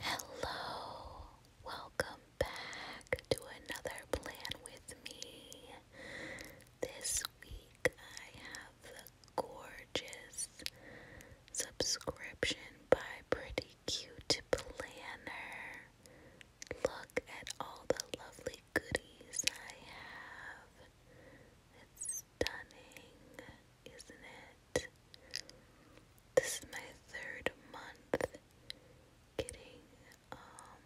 Hello, welcome back to another plan with me. This week I have the gorgeous subscription by Pretty Cute Planner. Look at all the lovely goodies I have. It's stunning, isn't it? this is my third month getting um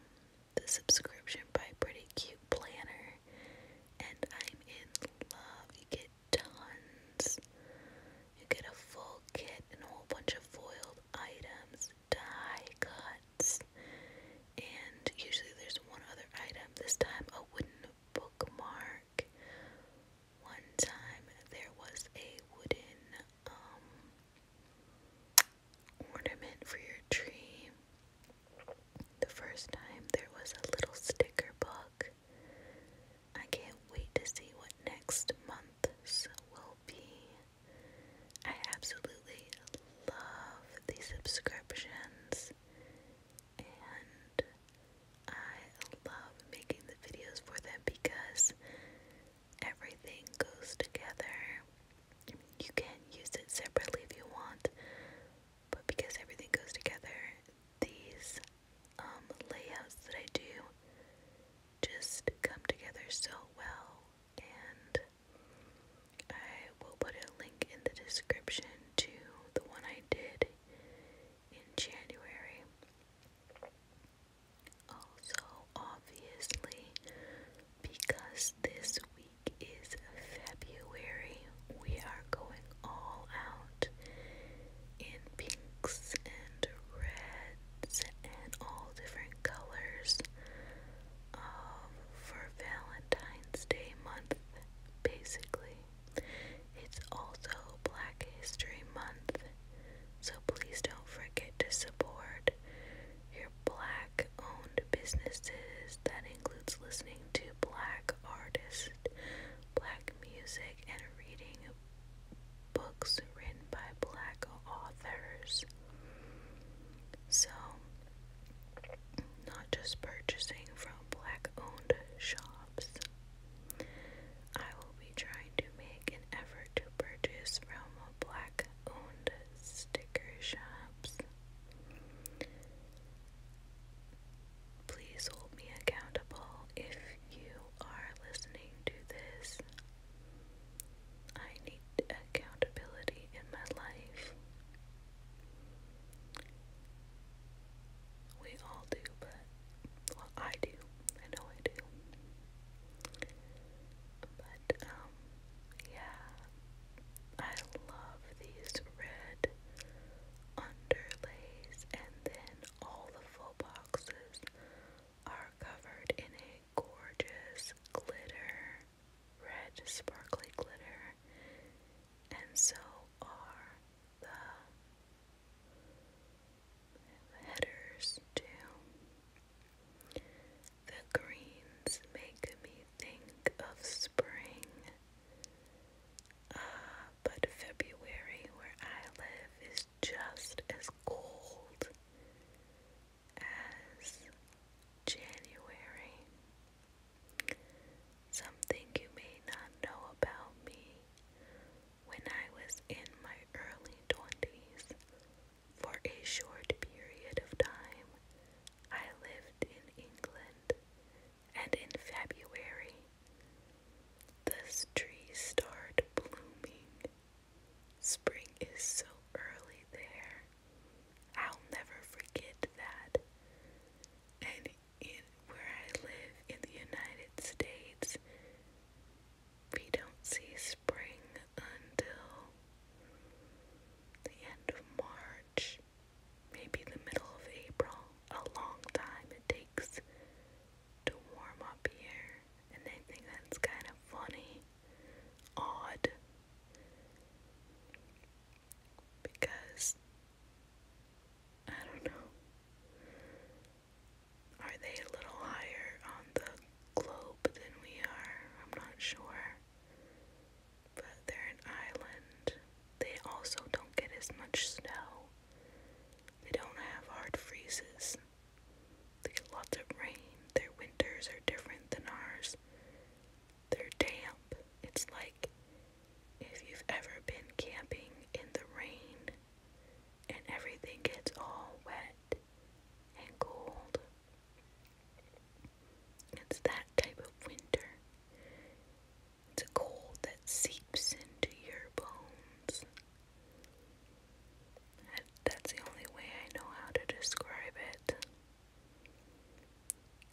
the subscription by Pretty Cute Planner and I'm in love. You get tons. You get a full kit and a whole bunch of foiled items, die cuts, and usually there's one other item. This time a wooden bookmark one time there was a wooden um, ornament for your tree. The first time there was a little sticker book. I can't wait to see what next month's will be. I absolutely love these subscriptions and I love making the videos for them because everything goes together. you can use it separately if you want, but because everything goes together, these um, layouts that I do just come together so well. And I will put a link in the description to the one I did in January. Also, obviously, because this week is February, we are going all out in pinks and reds and all different colors um, for Valentine's Day month, basically. It's also Black History Month, so please don't forget to support your black owned businesses. That includes listening to black artists, black music, and reading books written by black authors. So, not just purchasing from black owned shops. I will be trying to make an effort to purchase from black owned sticker shops. Please hold me accountable if you are listening to this. I need accountability in my life. We all do, but, I do. I know I do. But, um, yeah. I love these red underlays, and then all the full boxes are covered in a gorgeous glitter, red sparkly glitter and so are the headers too. The greens make me think of spring. Ah, but February, where I live, is just as cold as January. Something you may not know about me when I was in my early 20s. For a short period of time, I lived in England, and in February, the trees start blooming. Spring is so early there. I'll never forget that and in where I live in the United States, we don't see spring until the end of March, maybe the middle of April. A long time it takes to warm up here, and I think that's kind of funny, odd. Because I don't know. Are they a little higher on the globe than we are? I'm not sure. But they're an island. They also don't get as much snow. They don't have hard freezes. They get lots of rain. Their winters are different than ours. They're damp. It's like if you've ever been camping in the rain and everything gets all wet and cold. It's that type of winter. It's cold that seeps into your bones. That's the only way I know how to describe it.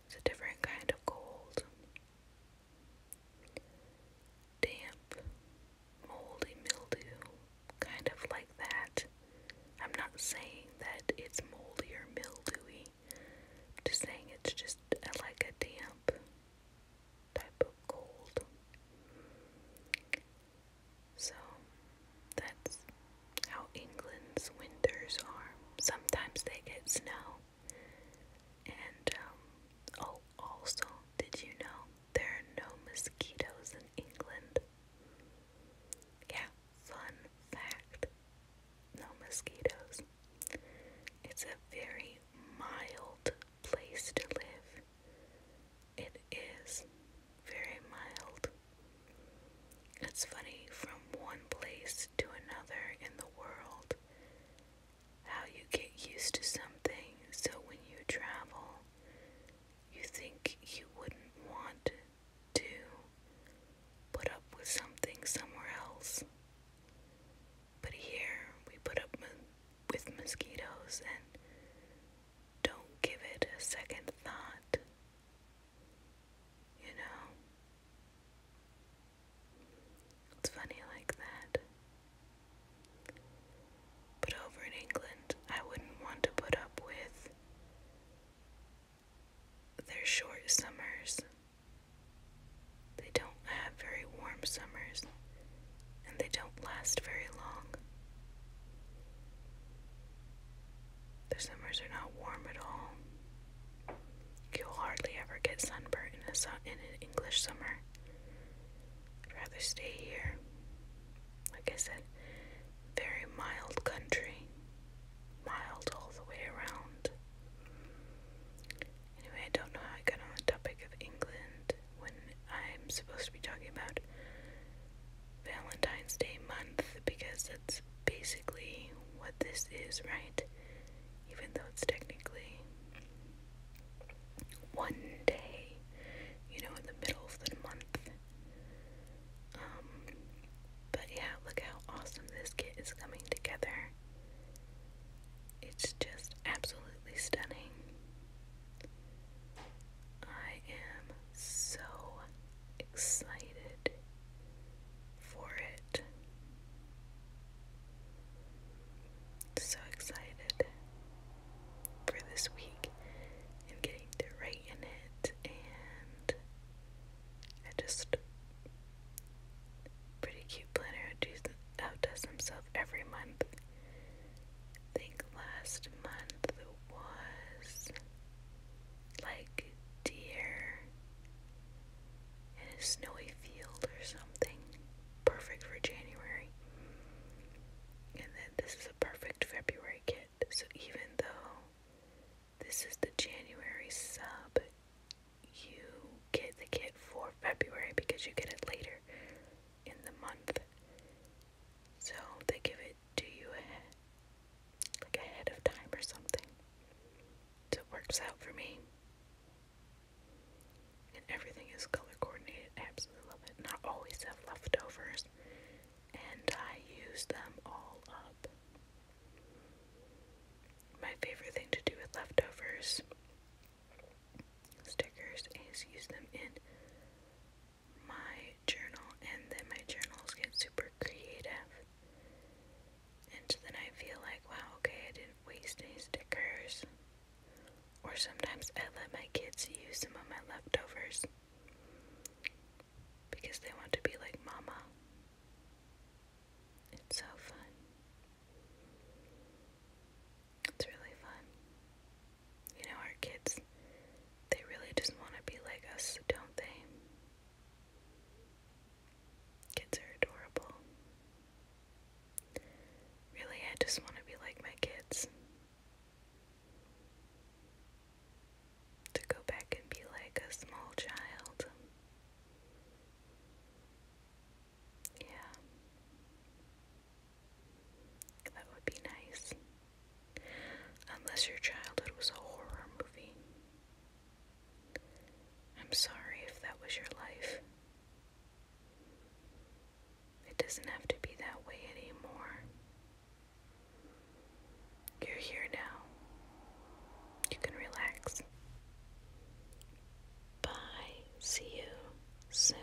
It's a different kind of cold. Damp, moldy mildew, kind of like that. I'm not saying that it's moldy or mildewy, I'm just saying it's just uh, like a damp type of cold. So that's how England's winters are. Sometimes they get snow. And um, oh, also, did you know there are no mosquitoes in England? Yeah, fun fact no mosquitoes. It's a very mild place to live. It is very mild. It's funny from one place to another in the world how you get used to something so when you travel, you think you wouldn't want to put up with something somewhere else. But here we put up with mosquitoes and don't give it a second thought. You know? It's funny like that. But over in England, I wouldn't want to put up with their short summers. They don't have very warm summers, and they don't last very long. The summers are not warm at all. You'll hardly ever get sunburnt in, a in an English summer. I'd rather stay here. Like I said, very mild country. Mild all the way around. Anyway, I don't know how I got on the topic of England when I'm supposed to be talking about Valentine's Day month because that's basically what this is, right? Even though it's technically one day, you know, in the middle of the month. Um, but yeah, look how awesome this kit is coming together. It's just absolutely stunning. I am so excited for it. So excited for this week and getting to write in it, and I just pretty cute planner who outdoes himself every month. think last month was like deer in a snowy field or something. Perfect for January. And then this is a perfect February kit. So even though this is the January sub, you get the kit for February because you get it later in the month. So they give it to you ahead, like ahead of time or something. it works out for me. And everything is color coordinated. I absolutely love it. And I always have leftovers. And I use them all up. My favorite thing to do with leftovers stickers is use them in my journal, and then my journals get super creative. And then I feel like, wow, okay, I didn't waste any stickers. Or sometimes I let my kids use some of my leftovers because they want to be like mama. It's so fun. It's really fun. You know, our kids, they really just want to be like us, don't they? Kids are adorable. Really, I just want to be like my kids. To go back and be like a small child. Yeah. That would be nice. Unless your childhood was a horror movie. I'm sorry if that was your life. It doesn't have to be that way anymore. You're here now. You can relax. Bye. See you soon.